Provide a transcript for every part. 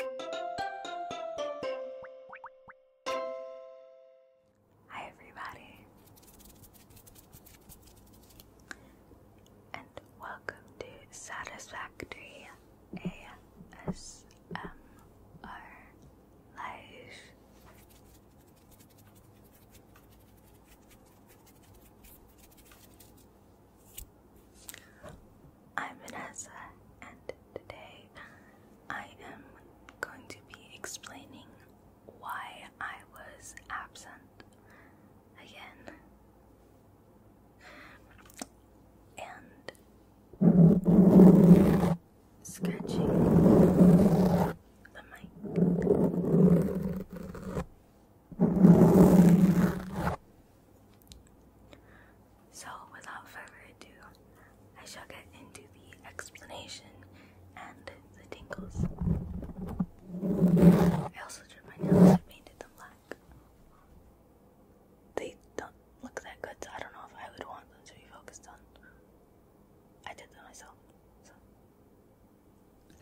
Hi, everybody, and welcome to Satisfactory ASMR Live. I'm Vanessa, and today I am going to be explaining why I was absent again. And sketching the mic. So, without further ado, I shall get into the explanation and the tingles. I also drew my nails I painted them black. They don't look that good, so I don't know if I would want them to be focused on. I did them myself, so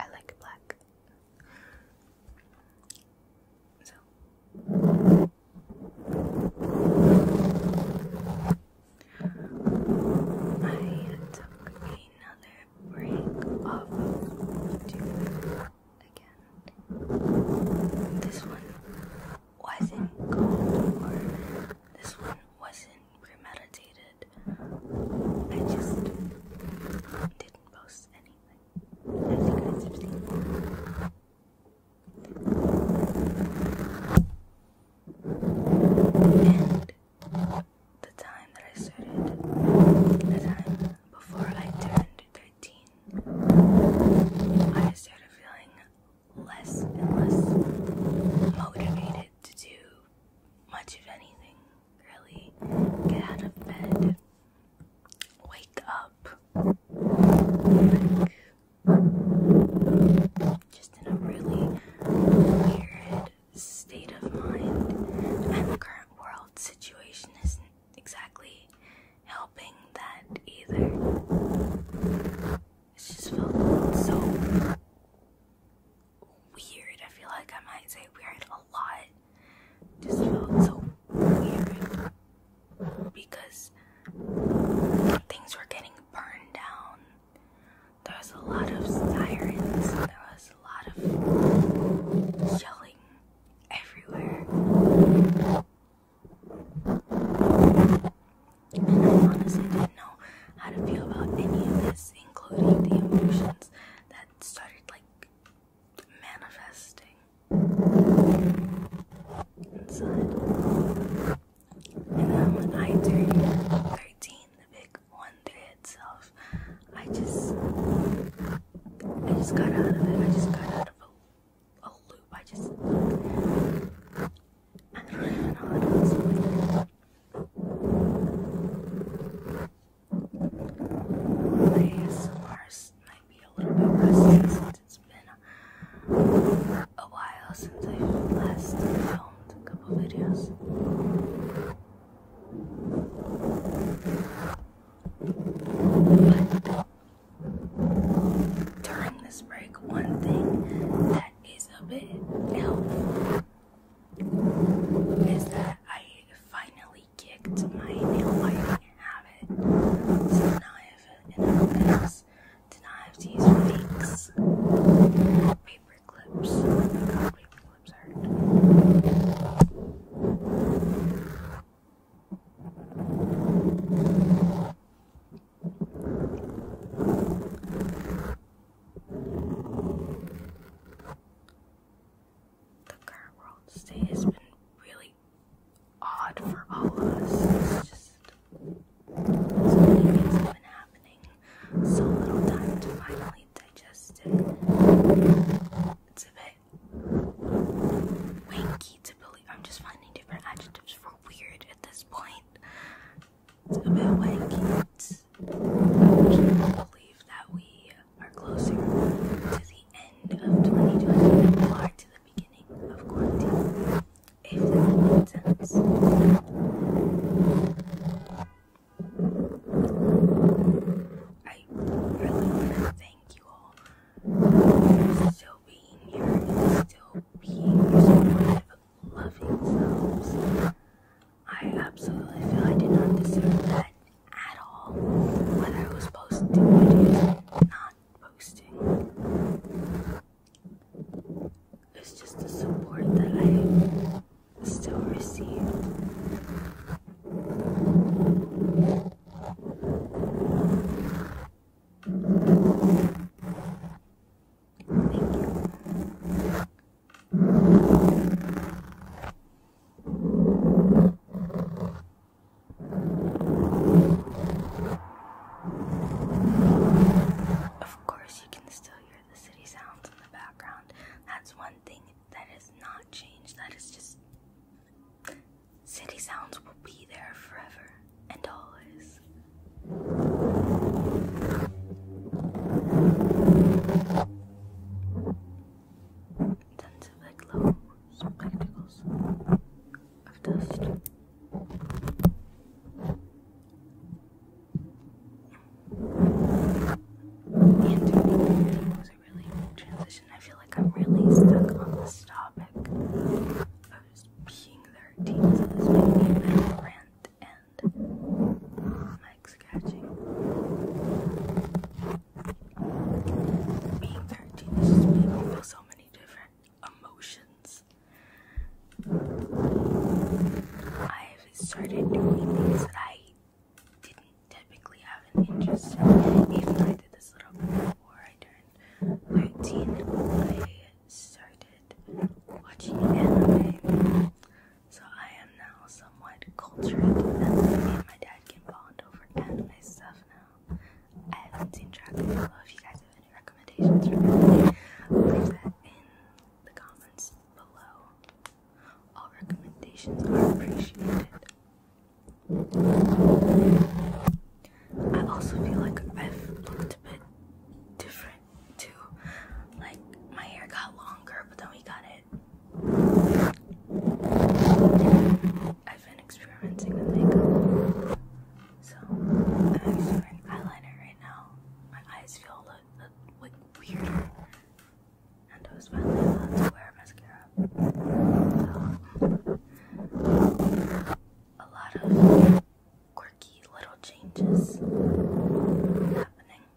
I like black. So I took another break off YouTube again. This one wasn't called or this one wasn't premeditated. I just didn't post anything. As you guys have seen. And the time that I started, the time before I turned 13, I started feeling less and less motivated to do much of anything, really. Get out of bed wake up just in a really weird state of mind, and the current world situation isn't exactly helping that either. It's just felt so weird. I feel like I might say weird a lot just felt so weird because things were getting burned down. There was a lot of sirens, there was a lot of yelling everywhere. And I honestly didn't know how to feel about any of this, including the emotions that started like manifesting inside. And then when I turned 13, the big one itself, I just I just got out of it. I just got out of a, a loop. I just I don't these ours might be a little bit rusty since it's been a while since I last filmed a couple videos. during this break, one thing that is a bit helpful is that I finally kicked my nail biter and have it. So now I have to not have to use Paper clips. Oh my god, paper clips hurt the current world state has been really odd for all of us. It's so many things have been happening, so little time to finally digest it. It's a bit wanky to believe. I'm just finding different adjectives for weird at this point. It's a bit wanky. It's, believe that we are closer to the end of 2020 than we are to the beginning of quarantine. If that makes sense. I really want to thank you all for still being here and still being your supportive, loving selves. I absolutely feel I did not deserve that at all what I was posting not posting. It's just the support that I still receive. Of course, you can still hear the city sounds in the background. That's one thing that has not changed. That is just. City sounds will be there forever and always intensive like glow spectacles of dust. And it was a really big transition. I feel like I'm really stuck on this topic of just being 13, so this made me and my being 13 just making feel so many different emotions. I've started doing things that I didn't typically have an interest in. Even though I did this little before I turned 13, I started watching anime. So I am now so somewhat cultured, me and my dad can bond over anime stuff now. I haven't seen Dragon Ball. If you guys have any recommendations for me, in the comments below. All recommendations are appreciated. I also feel like I've looked a bit different too. Like my hair got longer, but then we got it I've been experimenting with makeup. So, I'm just eyeliner right now. My eyes feel like weird. And I was finally allowed to wear mascara. a lot of quirky little changes happening.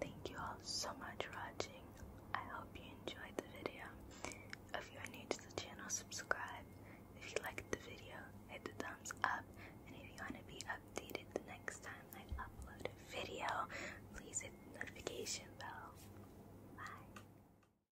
Thank you all so much for watching. I hope you enjoyed the video. If you are new to the channel, subscribe. If you liked the video, hit the thumbs up. And if you want to be updated the next time I upload a video, please hit the notification bell. Bye.